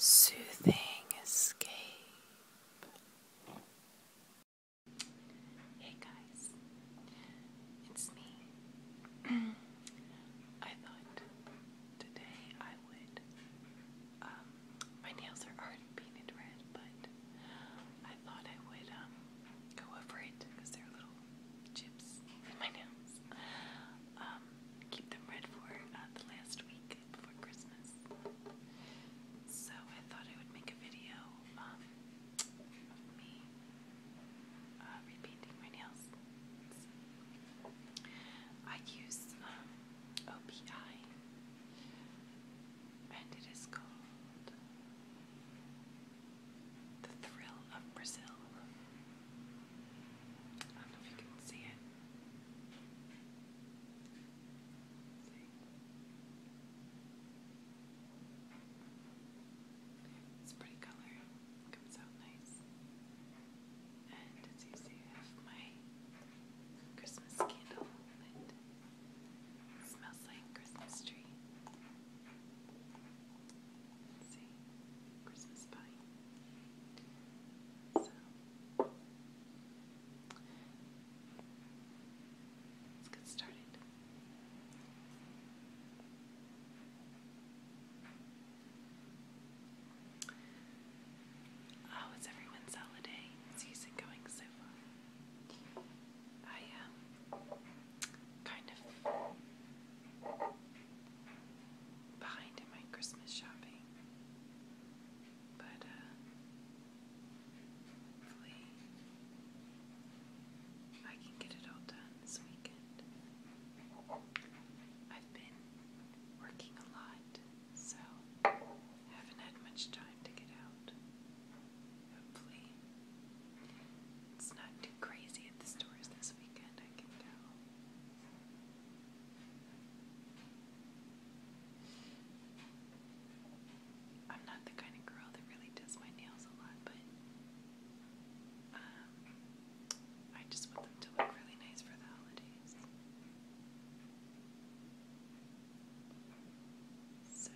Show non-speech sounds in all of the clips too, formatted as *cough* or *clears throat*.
Soothing escape. Hey guys, it's me. *clears throat* I thought today I would. Um, my nails are already painted red, but I thought I would um, go over it because they're a little chips in my nails. Um, keep them red for uh, the last week before Christmas. So I thought I would make a video um, me uh, repainting my nails. I use um, OPI, and it is called the Thrill of Brazil. I don't know if you can see it. See? It's pretty color. It comes out nice. And it's easy to have my Christmas candle smells like Christmas tree. Let's Christmas pie. get started. Oh, everyone's holiday season going so far. I um, kind of behind in my Christmas shopping. But, uh, hopefully, I can get it all done this weekend. I've been working a lot, so haven't had much time to get out. Hopefully, it's not too crazy at the stores this weekend, I can tell. I'm not the kind of girl that really does my nails a lot, but um, I just want them to look really nice for the holidays. So,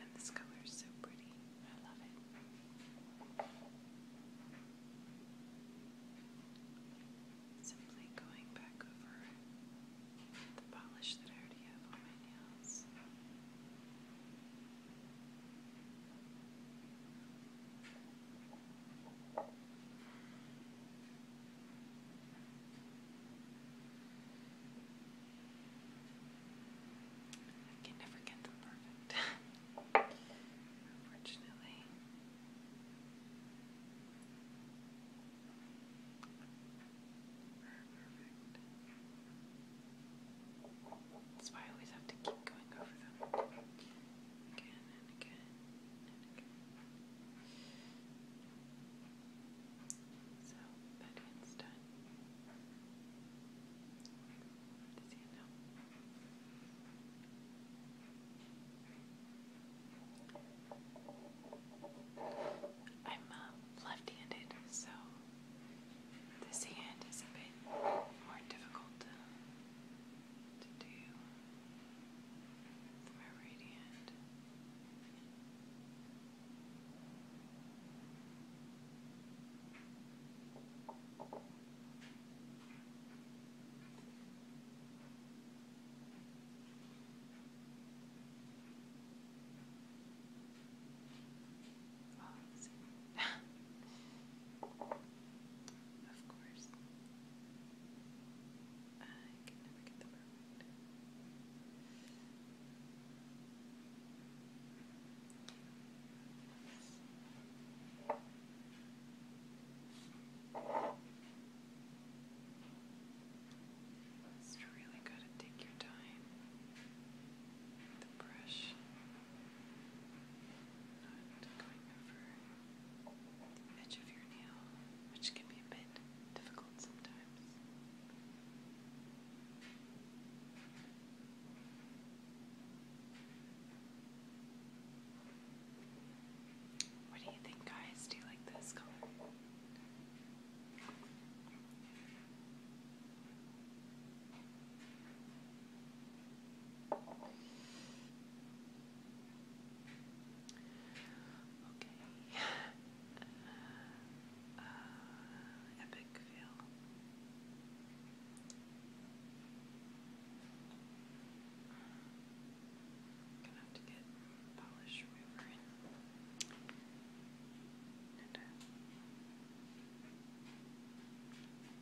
and this color is so pretty. I love it. Simply going back over the polish that I already have on my nails. I can never get them perfect, unfortunately. That's why I always have to keep going over them again and again. So This hand I'm uh, left-handed, so this hand is a bit more difficult to, do with my right hand. *laughs* Of course. I can never get the it's really got to take your time. The brush, not going over which can be a bit difficult sometimes. What do you think, guys? Do you like this color? Okay. Uh, uh, epic fail. Gonna have to get polish remover And, uh,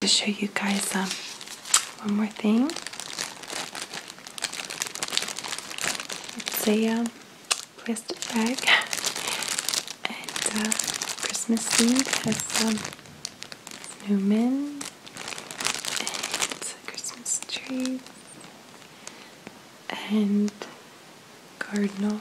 To show you guys um, one more thing. It's a um, plastic bag *laughs* and uh, Christmas themed has um, snowmen and Christmas trees and cardinal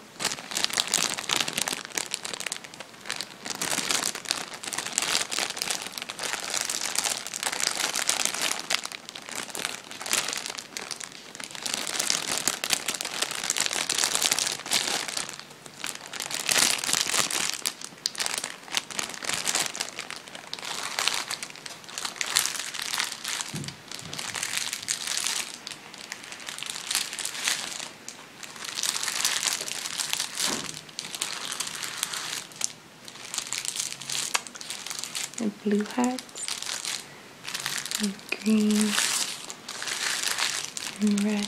and blue hearts and green and red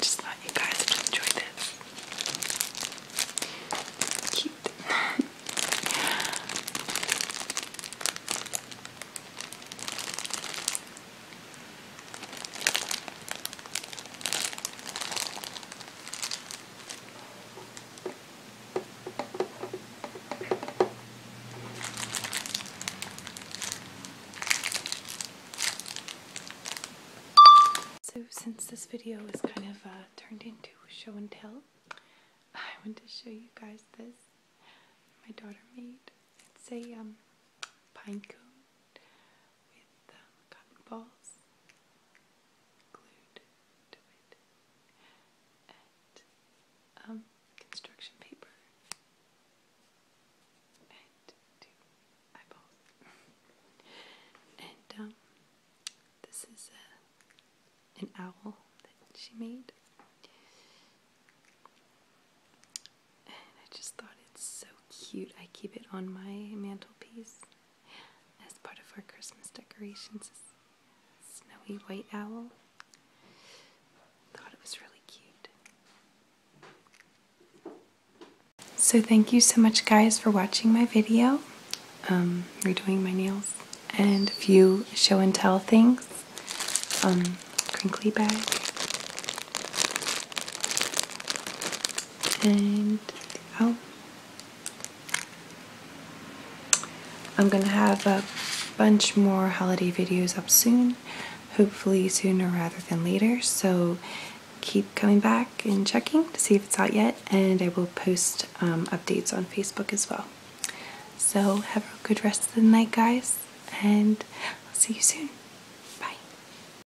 Just thought you guys would enjoy this. Cute. So since this video is kind of uh, turned into show and tell, I want to show you guys this my daughter made. It's a um, pine cone with um, cotton balls and um, construction paper, and um, this is an owl that she made. I just thought it's so cute. I keep it on my mantelpiece as part of our Christmas decorations is snowy white owl. Thought it was really cute. So thank you so much guys for watching my video, um, redoing my nails, and a few show and tell things. Um, crinkly bag and oh, I'm gonna have a bunch more holiday videos up soon, hopefully sooner rather than later. So keep coming back and checking to see if it's out yet, and I will post um, updates on Facebook as well. So have a good rest of the night, guys, and I'll see you soon.